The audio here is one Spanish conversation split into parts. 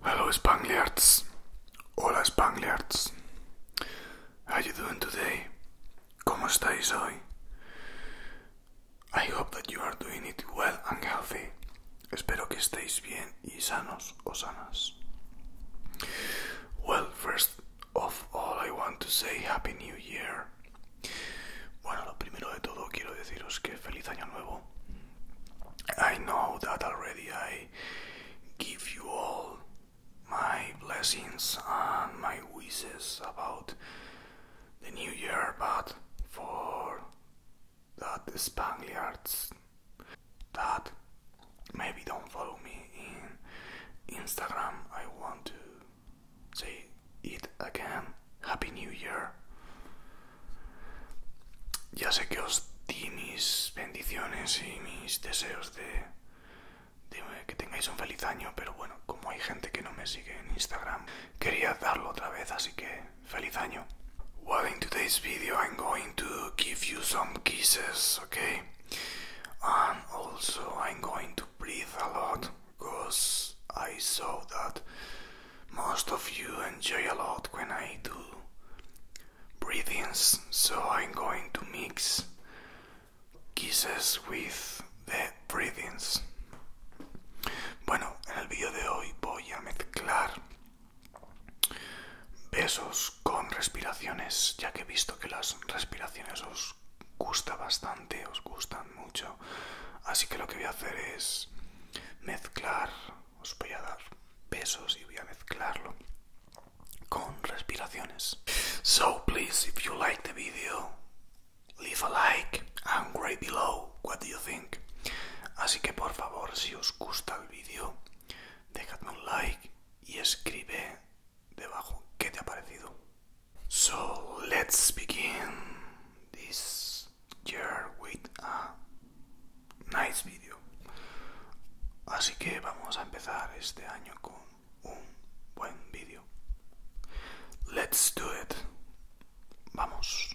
Hello Spangliards. Hola Spangliards. How you doing today? ¿Cómo estáis hoy? I hope that you are doing it well and healthy. Espero que estéis bien y sanos o sanas. Well, first of all, I want to say Happy New Year. Bueno, lo primero de todo quiero deciros que feliz año nuevo. I know that already I give you all my blessings and my wishes about the new year, but for that Spaniards that maybe don't follow me in Instagram. I want to say it again. Happy New Year. Ya sé que os di mis bendiciones y mis deseos de, que tengáis un feliz año, pero bueno, como hay gente que no me sigue en Instagram, quería darlo otra vez, así que feliz año. Well, in today's video, I'm going to give you some kisses, okay? and also I'm going to breathe a lot because I saw that most of you enjoy a lot when I do breathings, so I'm going to mix kisses with the breathings. Bueno, en el vídeo de hoy voy a mezclar Besos con respiraciones, ya que he visto que las respiraciones os gusta bastante, os gustan mucho. Así que lo que voy a hacer es mezclar, os voy a dar besos y voy a mezclarlo con respiraciones. So please, if you like the video, leave a like and below what do you think. Así que por favor, si os gusta el vídeo, dejadme un like y escribe debajo qué te ha parecido. So let's begin this year with a nice video. Así que vamos a empezar este año con un buen vídeo. Let's do it. Vamos.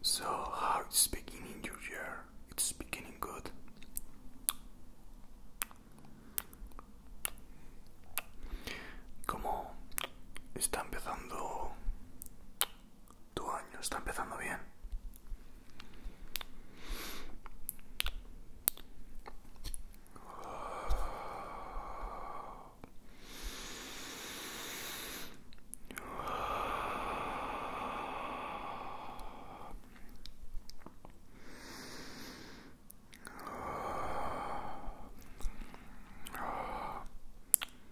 So, how it's beginning your year? It's beginning good. Come ¿Cómo está empezando Tu año está empezando bien.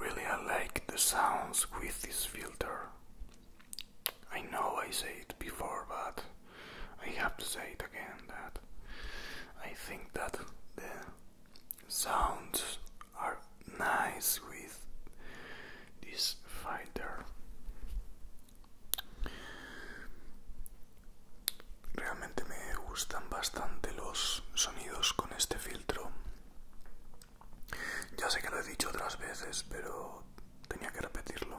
Really, I like the sounds with this filter. I know I said it before, but I have to say it again that I think that the sounds are nice with this filter. Realmente me gustan bastante los sonidos con este filtro Ya sé que lo he dicho otras veces, pero tenía que repetirlo.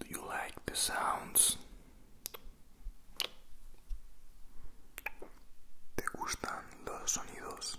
Do you like the sounds? ¿Te gustan los sonidos?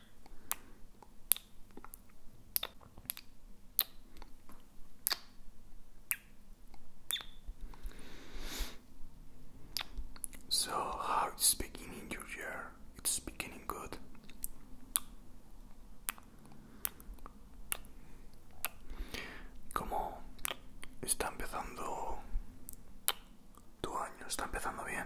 So, how it's beginning your year? It's beginning good. ¿Cómo está empezando tu año está empezando bien.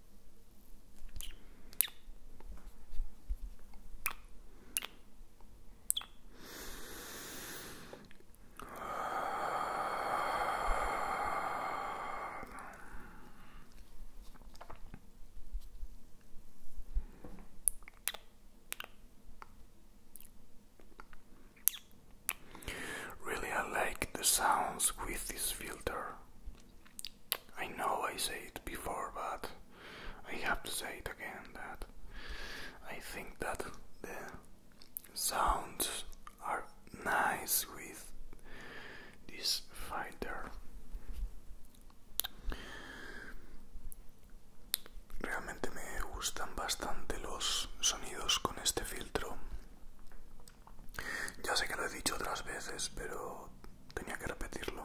Really, I like the sounds with this filter. I know I said it before, but I have to say it again that I think that the sounds are nice with this fighter. Realmente me gustan bastante los sonidos con este filtro. Ya sé que lo he dicho otras veces, pero tenía que repetirlo.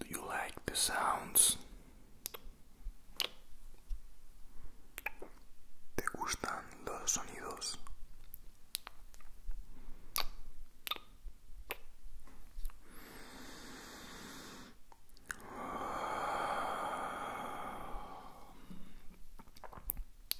Do you like the sounds? ¿Te gustan los sonidos?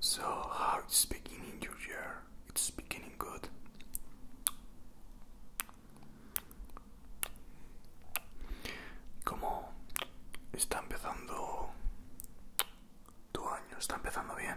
So, how is speaking in your year? It's beginning good. ¿Cómo está empezando tu año? ¿Está empezando bien?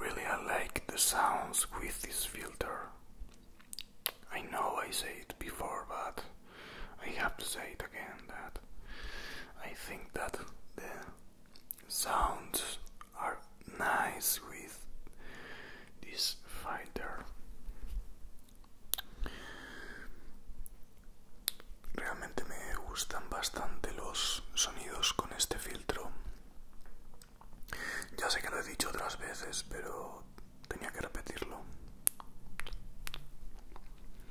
Really, I like the sounds with this filter. I know I say it before, but I have to say it again that I think that the sounds are nice with this fighter. Realmente me gustan bastante los sonidos con este filtro. Ya sé que lo he dicho otras veces, pero tenía que repetirlo.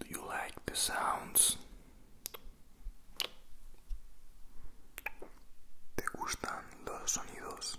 Do you like the sounds? ¿Te gustan los sonidos?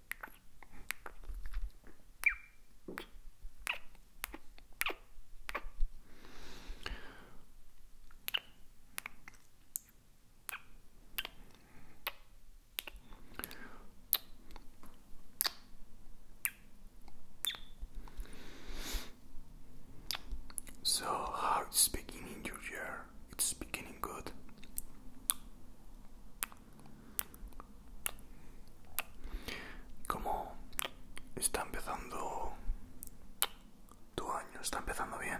So, how it's beginning your year? It's beginning good. ¿Cómo está empezando tu año? ¿Está empezando bien?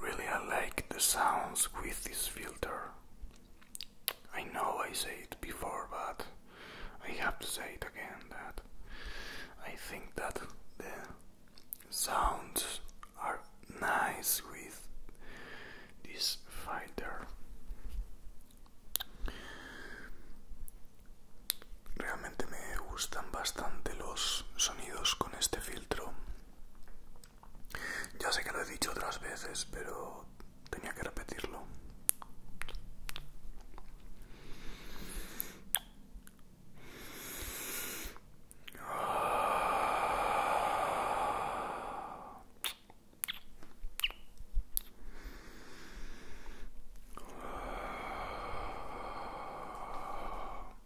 Really, I like the sounds with this filter. I know I said it before, but I have to say it again that I think that the sounds are nice with this filter. Realmente me gustan bastante los sonidos con este filtro. Ya sé que lo he dicho otras veces, pero tenía que repetirlo.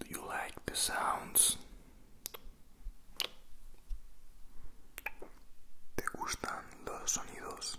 Do you like the sounds? ¿Te gustan los sonidos?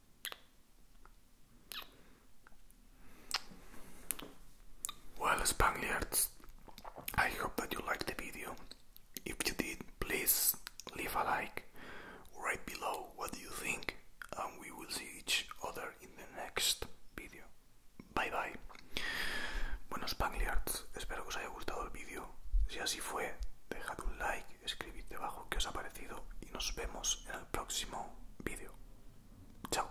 Well, Spaniards, I hope that you liked the video. If you did, please leave a like right below what do you think, and we will see each other in the next video. Bye bye. Bueno, Spaniards, espero que os haya gustado el vídeo. Si así fue, dejad un like escribid debajo que os ha parecido y nos vemos en el próximo vídeo. Chao.